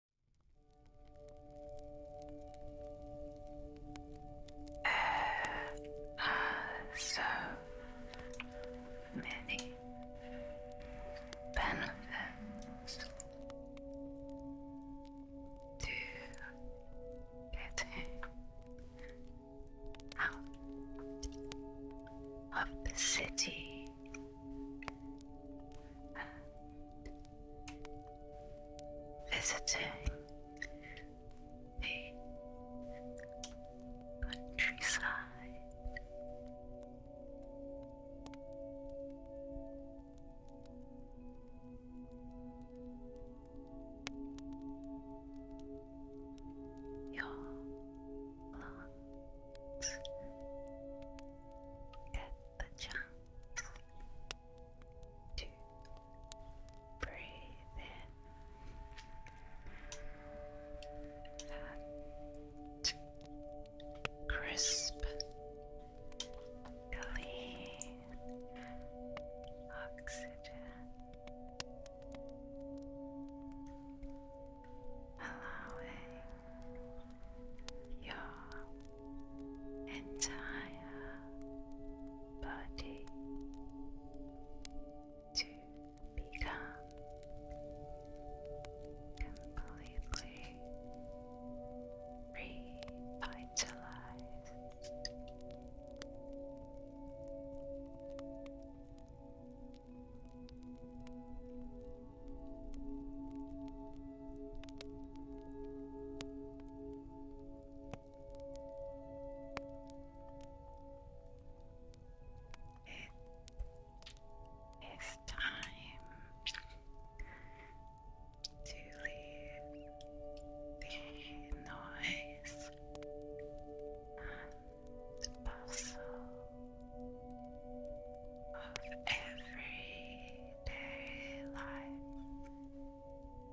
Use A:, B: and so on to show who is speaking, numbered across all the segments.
A: There are so many benefits to getting out of the city visiting the countryside. Your lungs get the chance two, breathe in and crisp, clean oxygen. Allowing your entire body to become completely revitalized. It is time to leave the noise and the of every everyday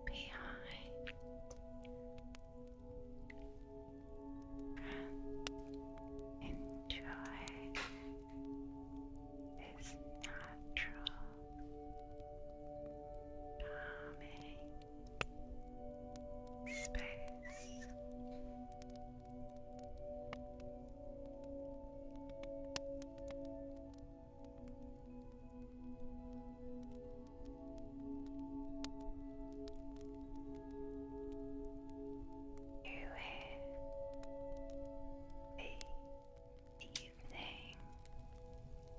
A: behind and enjoy this natural calming space the evening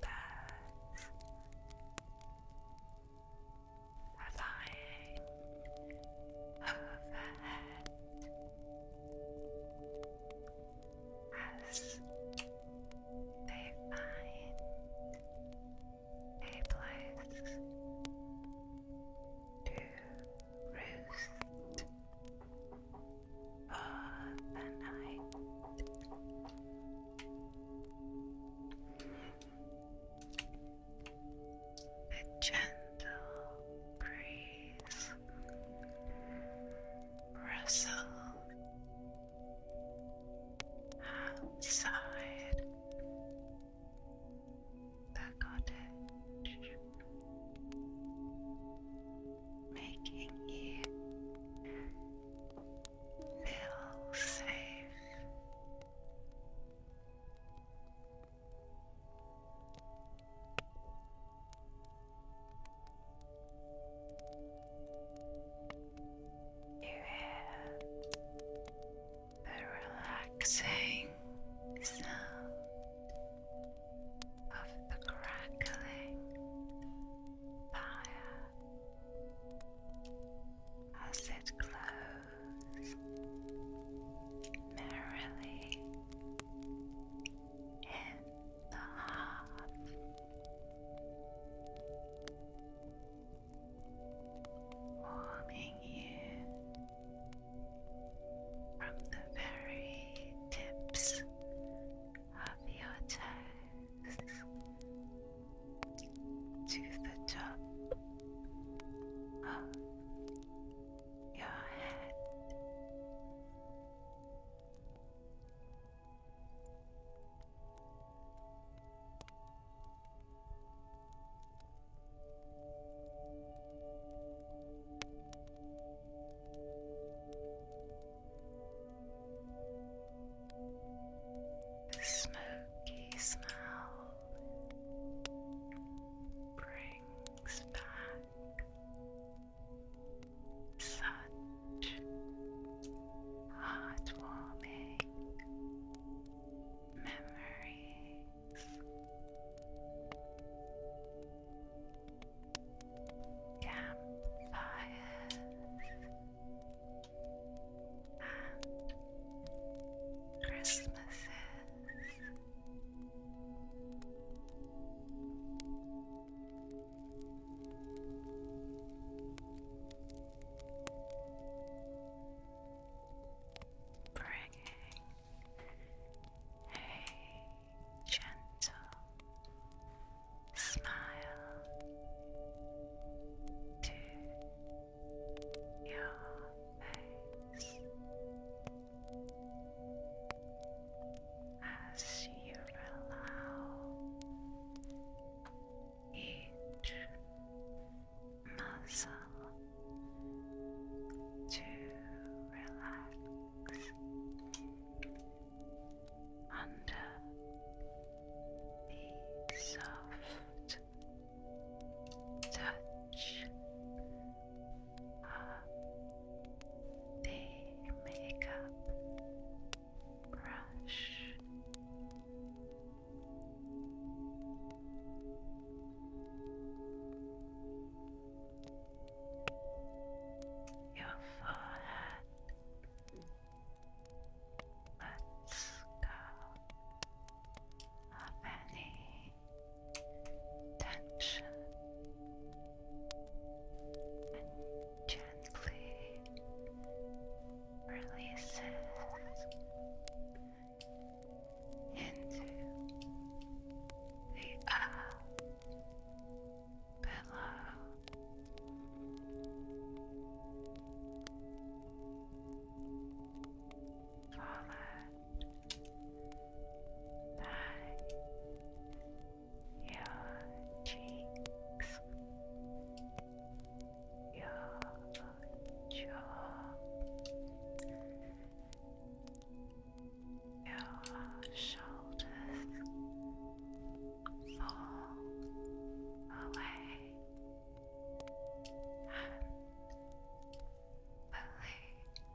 A: birds flying overhead as they find a place to roost for the night. A gentle breeze eyes. outside the cottage, making you feel safe. You hear the relaxing sound of the crackling fire as it glows merrily in the half. Warming you from the very tips of your toes to the top of your head. The smoky smell brings back such heartwarming memories. Campfires and Christmases. Bringing a gentle smile to your face as you allow each muscle to relax under the soft touch of the makeup brush. Your forehead. Let's of any tension and gently releases into the up below followed by your cheeks, your jaw, your shoulders fall away and believe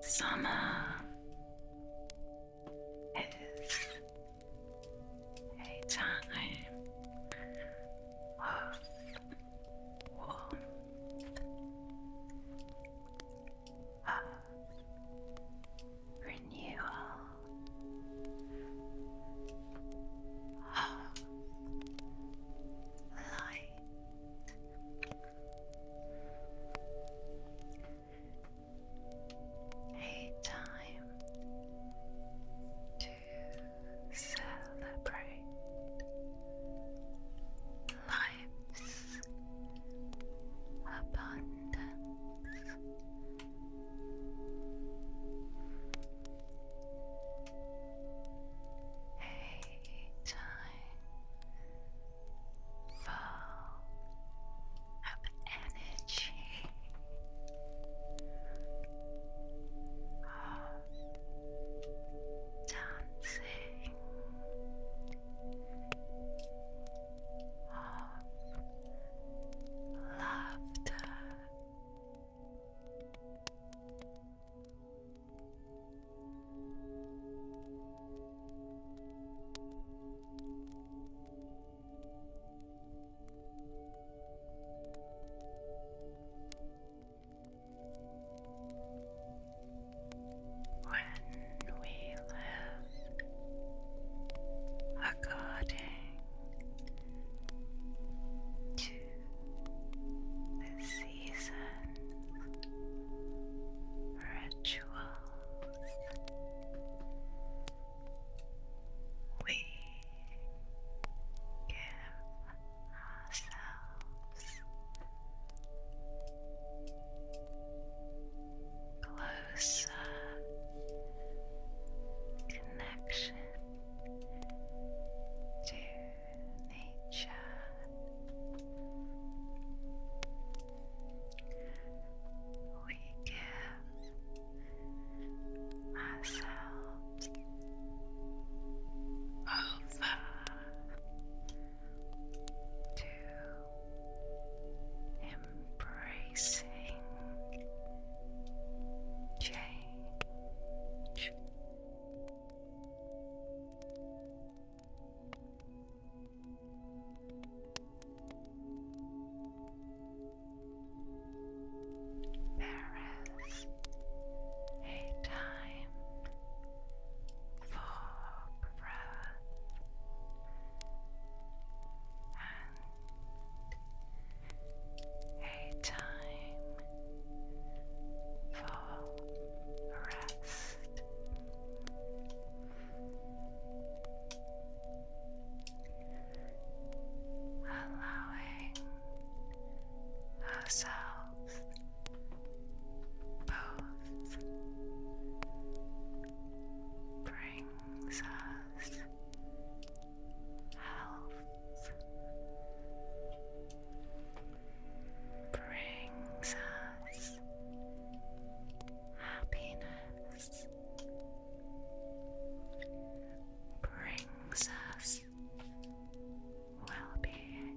A: Summer is a time of warmth, of renewal, of light. A time to to celebrate life's abundance. A time full of energy of dancing, of laughter. When we live according to the seasons, rituals, we give ourselves closer connection to nature. We give ourselves over to embracing change. There is a time for breath and a time for rest allowing ourselves both brings us health, brings us happiness. Brings brings us well being.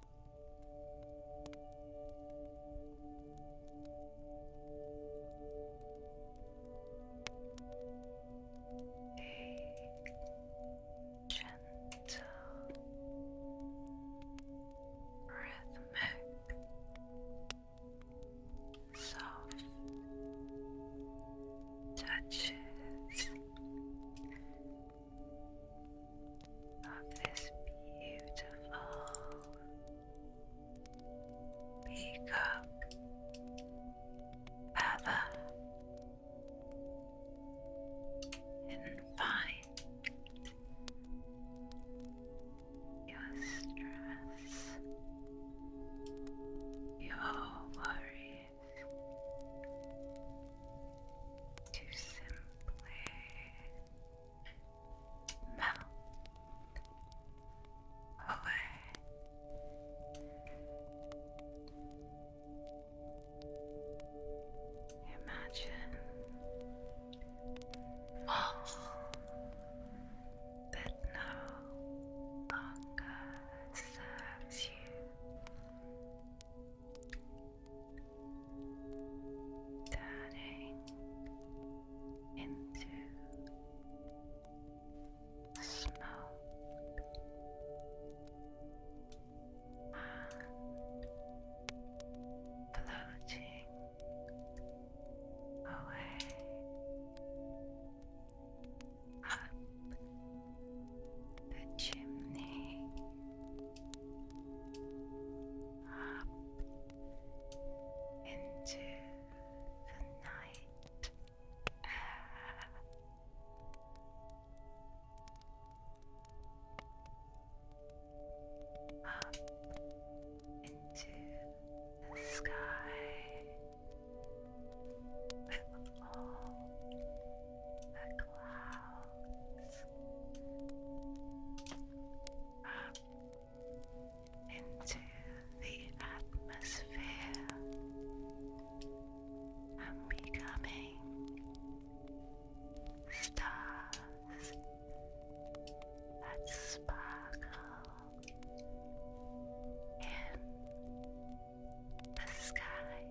A: A gentle, rhythmic, soft touches of this beautiful peacock feather and find your stress, your worry, to simply melt away. Imagine all that no longer serves you turning into smoke and floating away up the chimney up into the night Up into the sky with all the clouds up into the atmosphere and becoming stars that sparkle in the sky.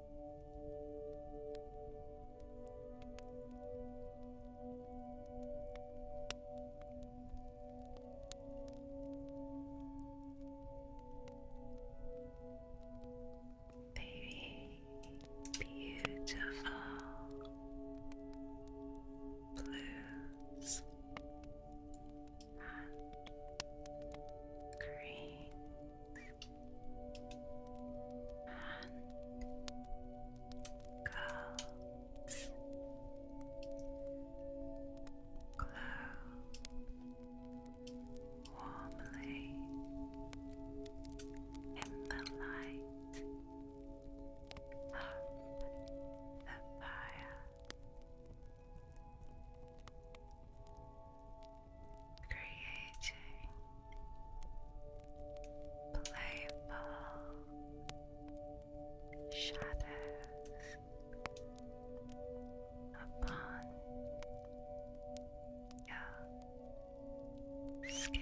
A: Baby, beautiful blues and green and girls glow warmly in the light of the fire creating playful shadows upon your skin.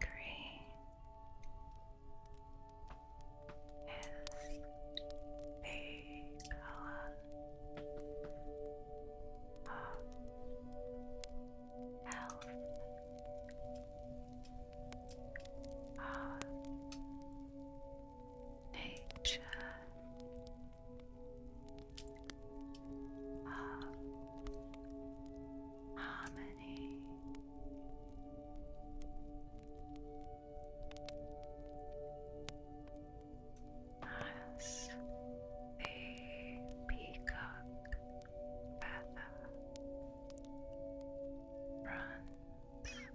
A: Gray is the color of health, of nature of harmony. As the peacock feather runs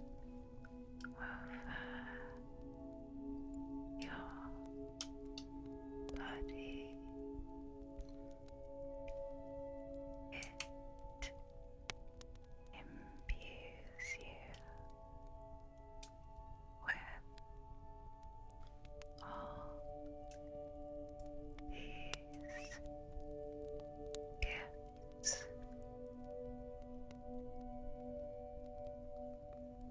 A: over your body. It imbues you with all these gifts.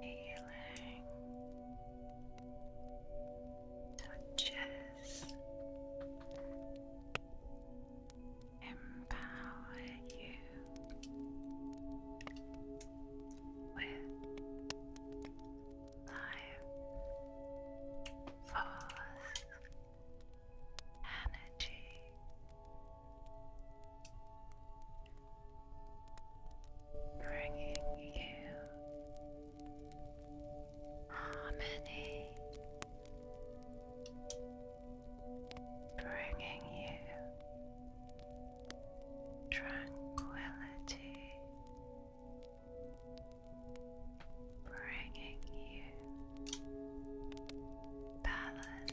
A: healing touches empower you with life force energy bringing you harmony, bringing you tranquility, bringing you balance.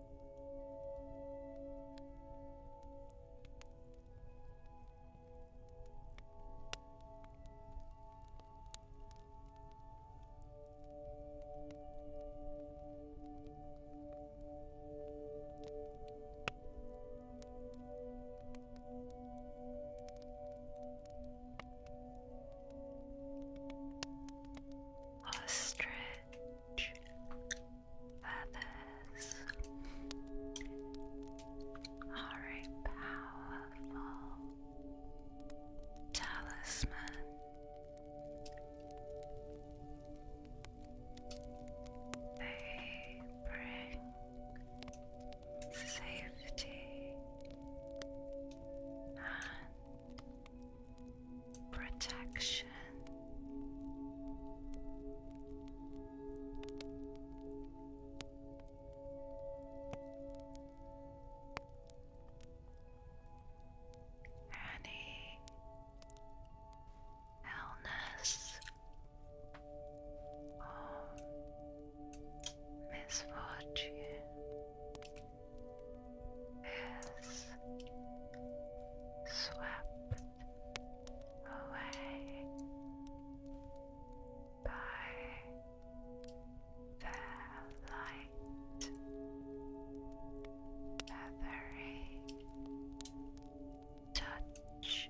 A: Ostrich feathers are a powerful talisman. They bring safety and protection. Any illness or um, misfortune is swept away by their light, feathery touch.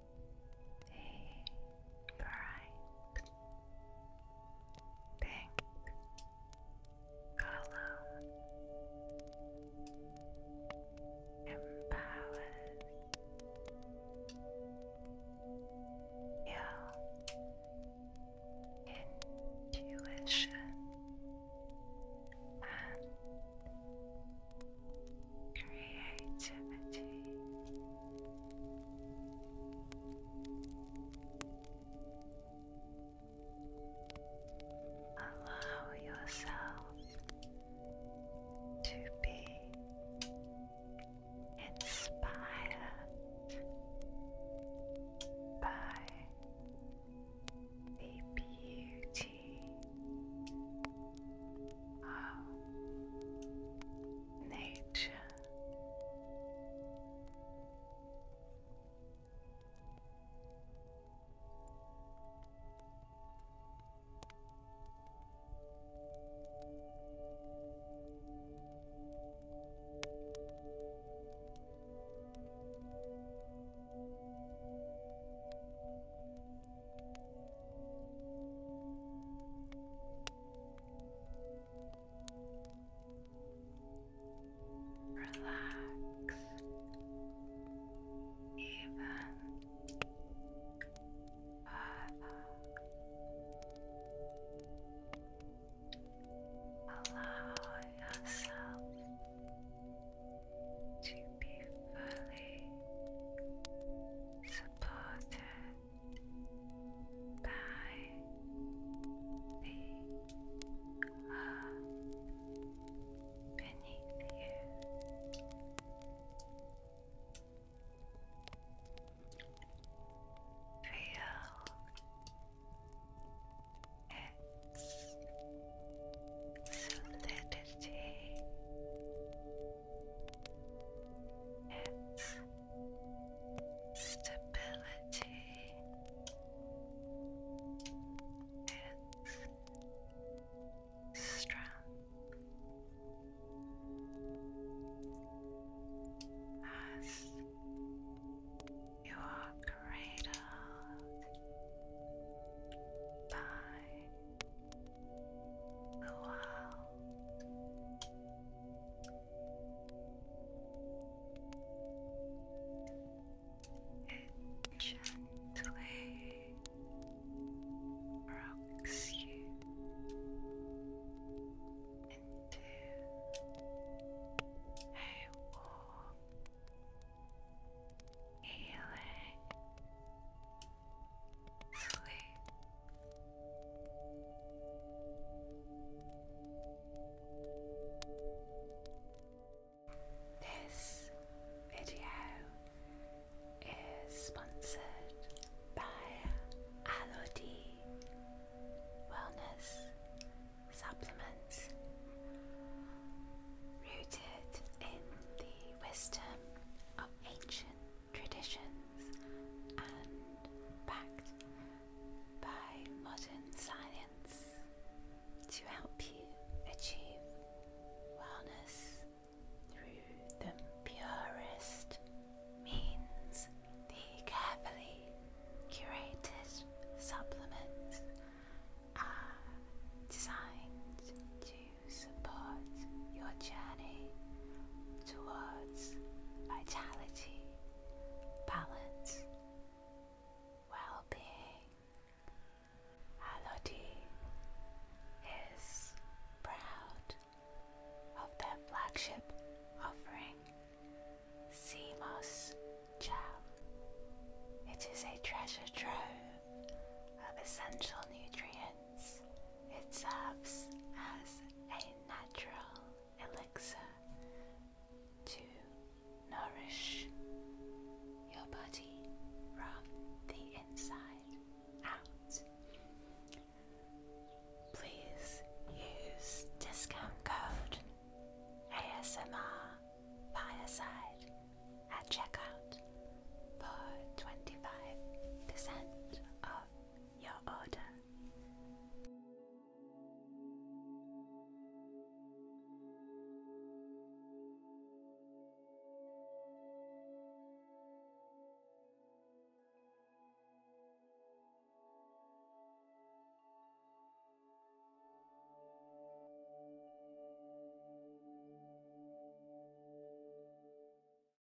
A: a bright pink column empowers your intuition and creativity. Allow yourself to be inspired by the beauty of nature. Relax even further. Allow yourself to be fully supported by the earth beneath you. Feel its solidity its stability, its strength as you are cradled by Wow. It gently rocks you into a warm, healing Sleep. This video is sponsored by Alodi Wellness Supplements, rooted in the wisdom of ancient traditions and backed by modern science to help you achieve wellness through the purest means, the carefully curated supplements are designed to support your journey towards vitality, balance, well being. Halodi is proud of their flagship offering, Seamos Gel. It is a treasure trove of essential nutrients. It serves as a natural elixir to nourish your body from the inside out. Please use discount code ASMR Fireside at checkout for 25% off your order.